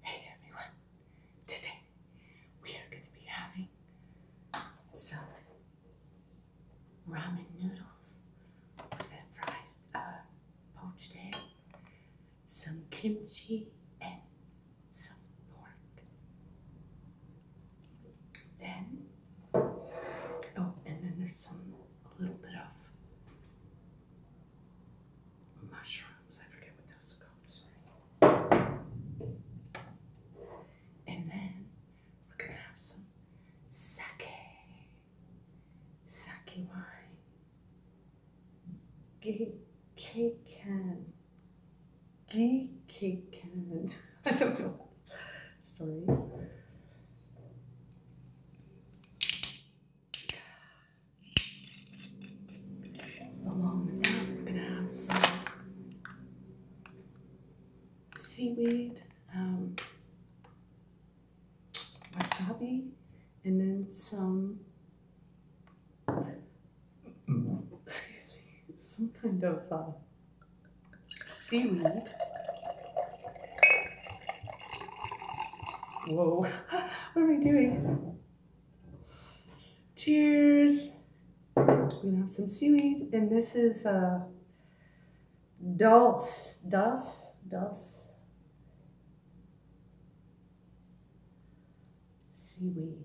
Hey everyone, today we are going to be having some ramen noodles with fried uh, poached egg, some kimchi, and some pork. Then, oh, and then there's some, a little bit of mushrooms. I forget what those are called. Sorry. And then we're gonna have some sake, sake wine, gikan, gikan. I don't know. Sorry. Along the that, we're gonna have some seaweed, um, wasabi, and then some. Excuse me, some kind of uh, seaweed. Whoa, what are we doing? Cheers. We have some seaweed, and this is a uh, dulse, dulse, dulse. Seaweed.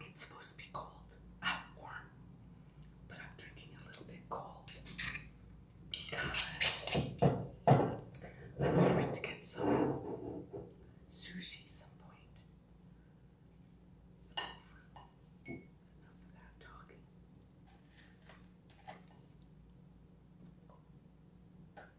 It's supposed to be cold, not ah, warm, but I'm drinking a little bit cold because I'm hoping to get some sushi some point. enough of talking.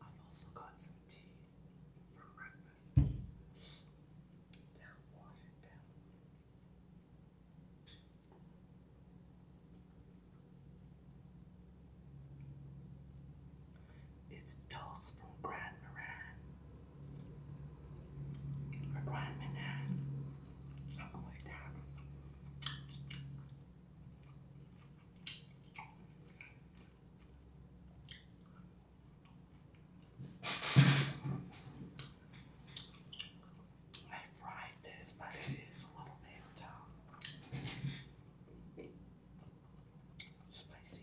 I've also got some tea for breakfast. Down, down. It's Dulce from Grand Moran. Or Grand Manan. Something I fried this, but it is a little bit um, spicy.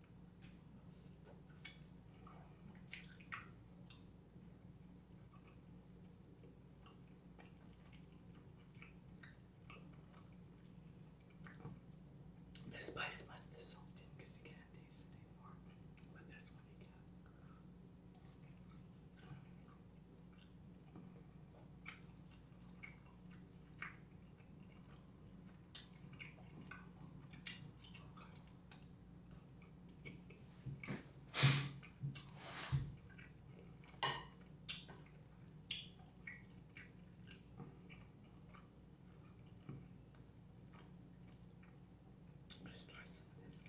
This spice must have soaked in because you can't taste any anymore. But this one you can. Let's try some of this.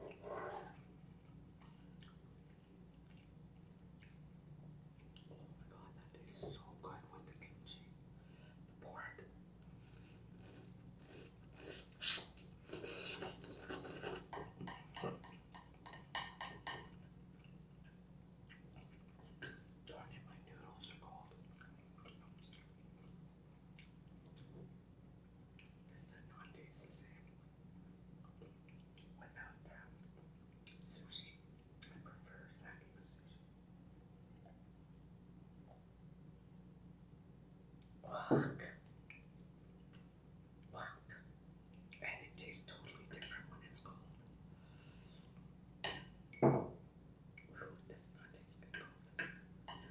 Oh my god, that tastes so good with the kimchi, the pork. Darn it, my noodles are cold. This does not taste the same without that sushi. I prefer snacking with sushi. Walk. Walk. And it tastes totally different when it's cold. Ooh, does not taste good cold.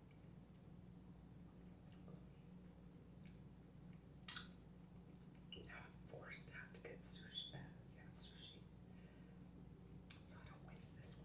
Forced to have to get sushi. Uh, yeah, sushi. So I don't waste this one.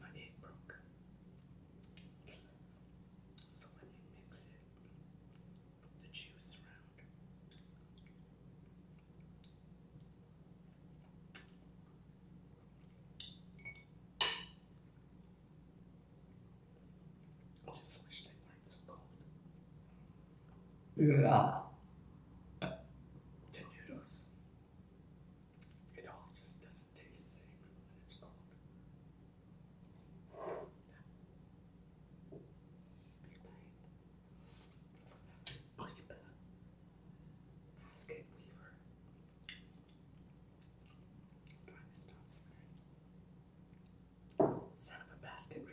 My egg broke. So when you mix it, the juice around. I just wish they weren't so cold. Yeah. The noodles. It all just doesn't taste the same when it's cold. Big bite. Bring it back. Basket weaver stop swearing. Son of a basket reaper.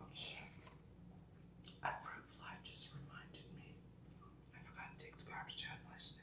Oh, A fruit fly just reminded me. I forgot to take the garbage out yesterday.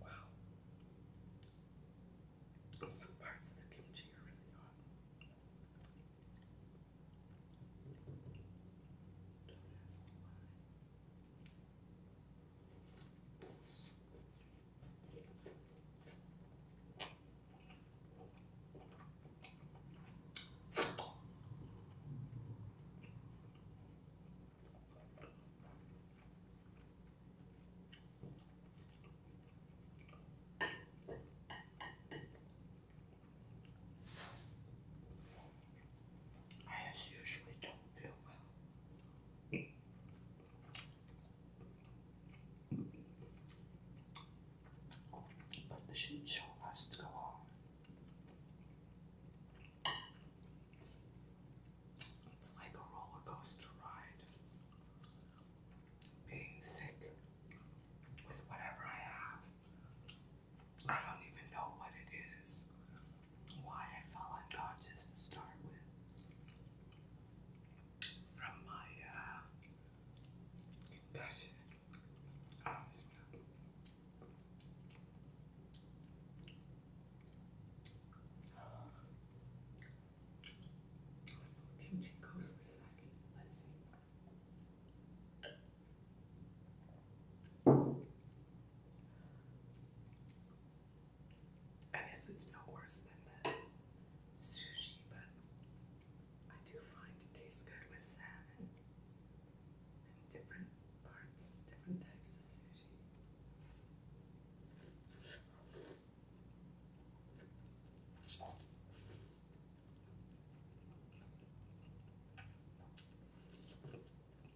Wow. Some parts of the kimchi are really hot. Don't ask why. I usually don't feel well. But the shit show has to go on. It's like a roller coaster ride. Being sick with whatever I have. I don't even know what it is why I fell unconscious to start with from my uh, concussion. Let's see. I guess it's no worse than the sushi, but I do find it tastes good with salmon and different parts, different types of sushi.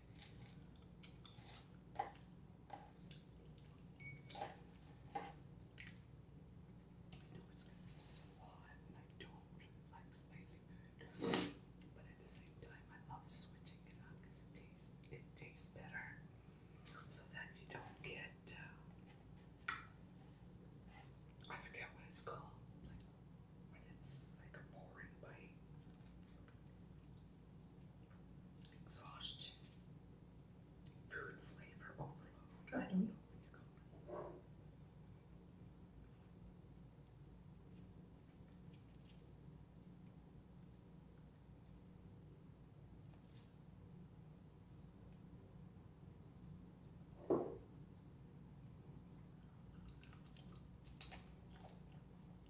I know it's gonna be so hot, I don't really like spicy food, but at the same time, I love switching it up because it tastes it tastes better, so that you don't get uh, I forget what it's called, like when it's like a boring bite. Exhaustion. Food flavor overload. I don't know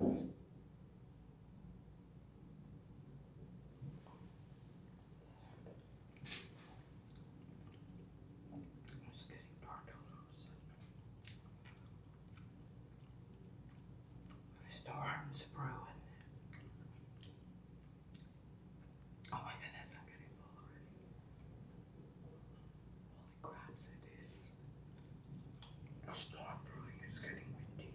It's getting dark all of a sudden. storm's brewing. Oh my goodness, I'm getting full already. Holy craps, it is. I'll stop it's getting windy.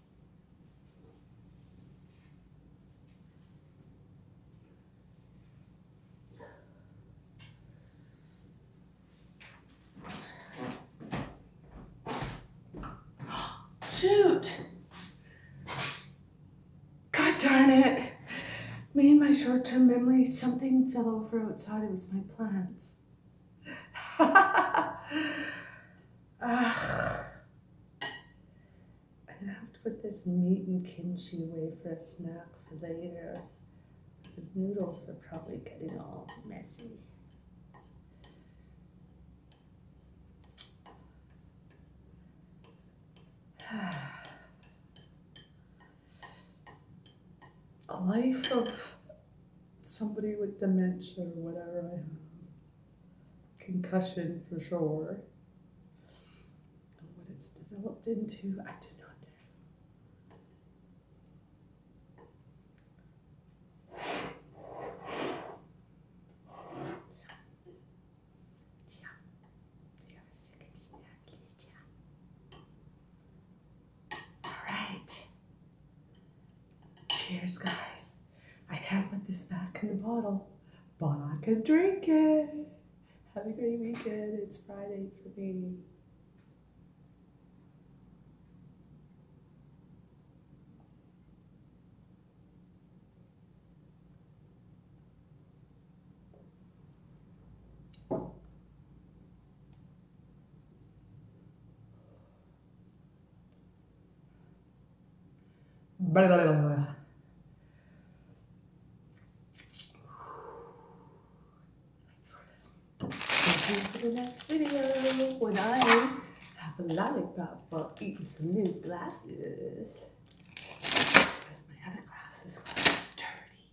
Shoot! God darn it! Me and my short term memory, something fell over outside. It was my plants. I'm gonna have to put this meat and kimchi away for a snack for later. The noodles are probably getting all messy. A life of somebody with dementia or whatever, concussion for sure. what it's developed into, I do not All right. Cheers, guys. I can't put this back in the bottle, but I can drink it. Have a great weekend. It's Friday for me. Vale, vale, vale, the next video when I have a lollipop for eating some new glasses. Because my other glasses got dirty.